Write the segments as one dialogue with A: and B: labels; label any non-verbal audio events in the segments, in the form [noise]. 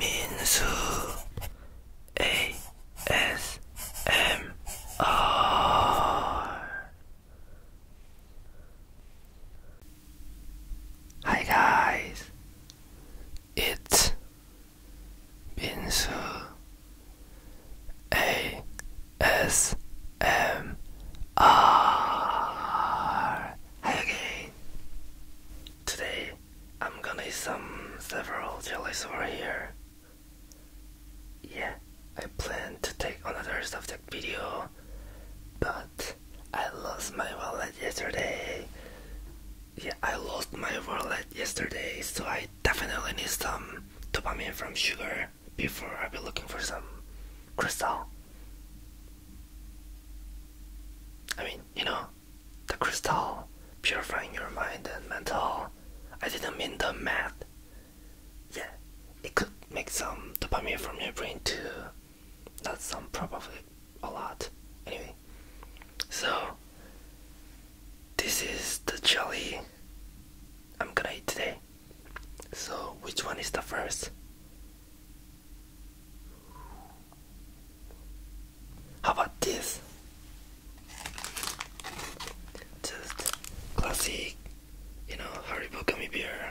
A: Minsu ASMR. Hi guys, it's Minsu ASMR. again. Today I'm gonna eat some several Jellies over here. Yeah, I plan to take another subject video, but I lost my wallet yesterday. Yeah, I lost my wallet yesterday, so I definitely need some dopamine from sugar before I be looking for some crystal. I mean, you know, the crystal, purifying your mind and mental. I didn't mean the math. Yeah, it could make some dopamine from your brain too. Not some, probably a lot. Anyway, so this is the jelly I'm gonna eat today. So, which one is the first? How about this? Just classic, you know, Haribo gummy bear.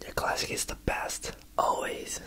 A: The classic is the best, always.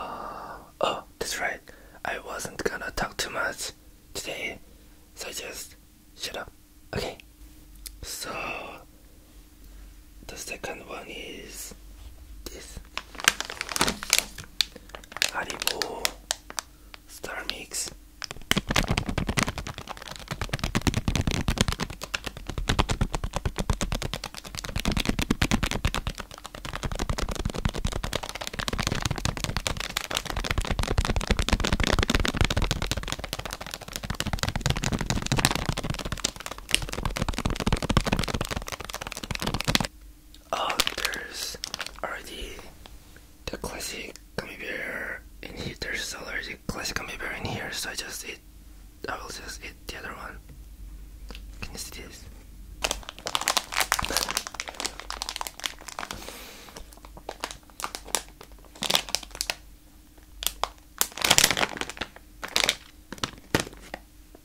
A: Oh, oh, that's right. I wasn't gonna talk too much today, so just shut up. Okay. So the second one is this Haribo Star Mix. Oh, there's already the classic gummy bear in here. There's already classic gummy bear in here, so I just eat. I will just eat the other one. Can you see this?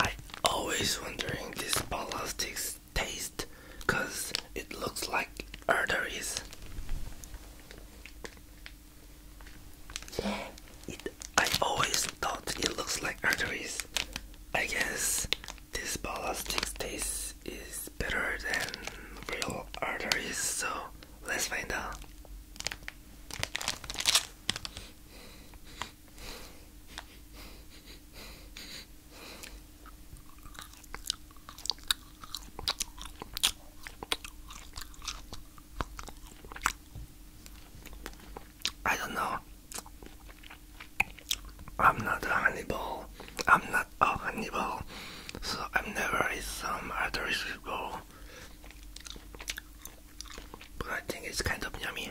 A: I always wondering this ballistics taste cause it looks like arteries. It, I always thought it looks like arteries. I guess this ballistics taste is better than real arteries, so let's find out. I don't know. I'm not a Hannibal. I'm not a Hannibal. So i am never eaten some arteries before. But I think it's kind of yummy.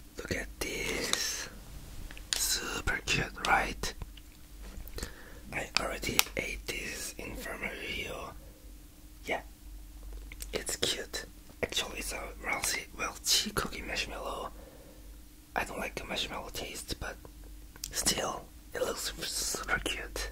A: Look at this. Super cute, right? I already ate this in front of you. Yeah. It's cute. Actually, it's a Rousey Welchie cookie marshmallow. I don't like the marshmallow taste, but still, it looks super cute.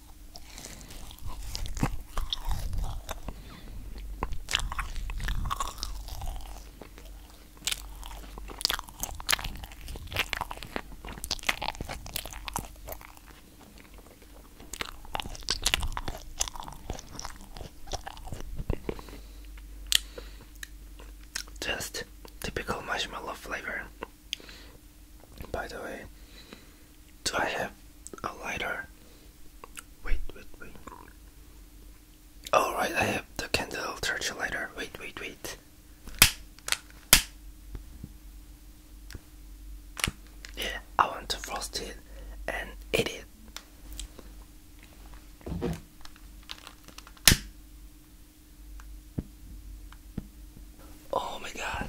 A: Just typical marshmallow flavor. By the way, do I have a lighter? Wait, wait, wait. Alright, I have the candle torch lighter. Wait, wait, wait. Yeah, I want to frost it and eat Oh my god.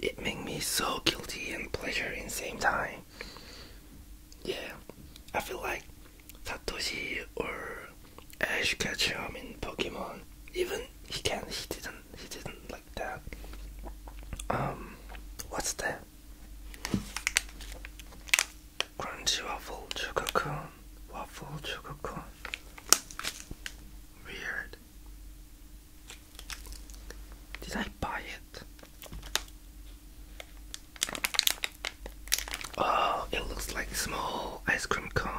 A: It made me so guilty and pleasure in the same time. Yeah, I feel like Satoshi or Ash catch him in Pokemon. Even he can he didn't he didn't like that. Um what's that? Crunchy waffle sugar cone. Waffle sugar cone. Weird. Did I buy it? Oh, it looks like small ice cream cone.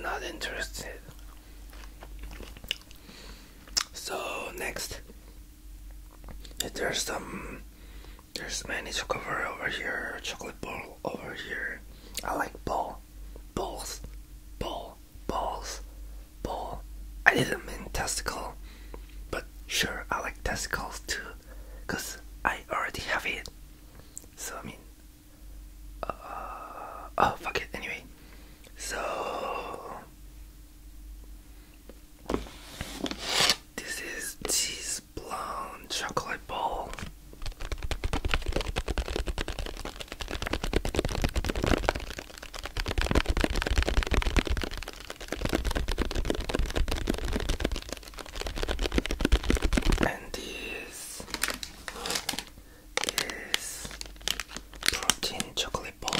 A: Not interested. So next, there's some, there's many chocolate over here, chocolate ball over here. I like ball, balls, ball, balls, ball. I didn't mean testicle, but sure, I like testicles too because I already have it. So I mean, uh, oh fuck it. Anyway, so this is cheese blonde chocolate ball and this is protein chocolate ball.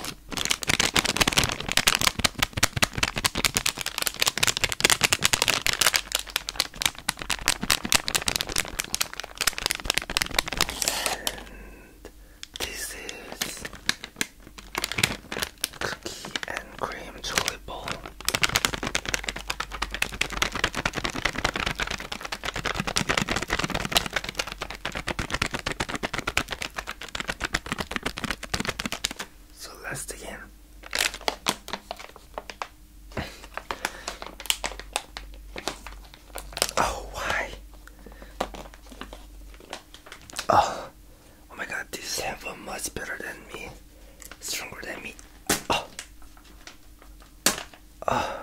A: And this is cookie and cream chili bowl. So let's dig Oh, why? Oh, Oh my god, This have a much better than me, stronger than me. Oh. Oh.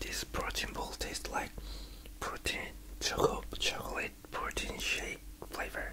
A: This protein bowl tastes like protein choco chocolate protein shake flavor.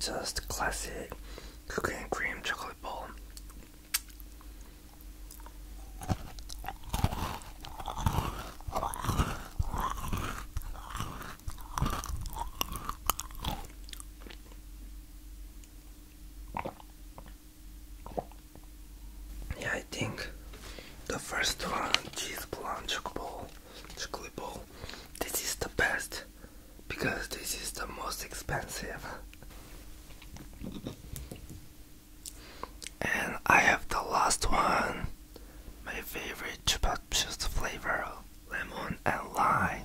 A: Just classic cookie cream chocolate ball yeah, I think the first one, cheese blonde chocolate ball, chocolate ball, this is the best because this is the most expensive. And I have the last one, my favorite chupa flavor, lemon and lime.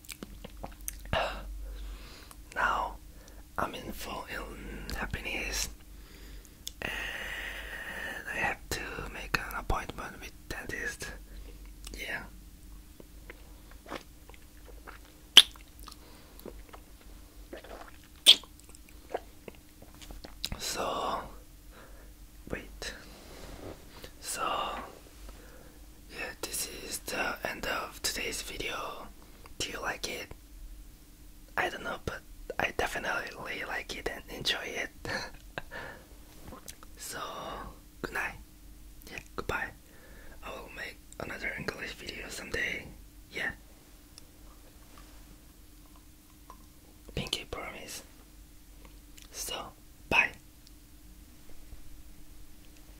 A: [sighs] now I'm in full happiness and I have to make an appointment with dentist. Yeah. So wait. So yeah, this is the end of today's video. Do you like it? I don't know, but I definitely like it and enjoy it. [laughs] so, good night. Yeah, goodbye. I will make another English video someday. Yeah. Pinky promise. So, bye.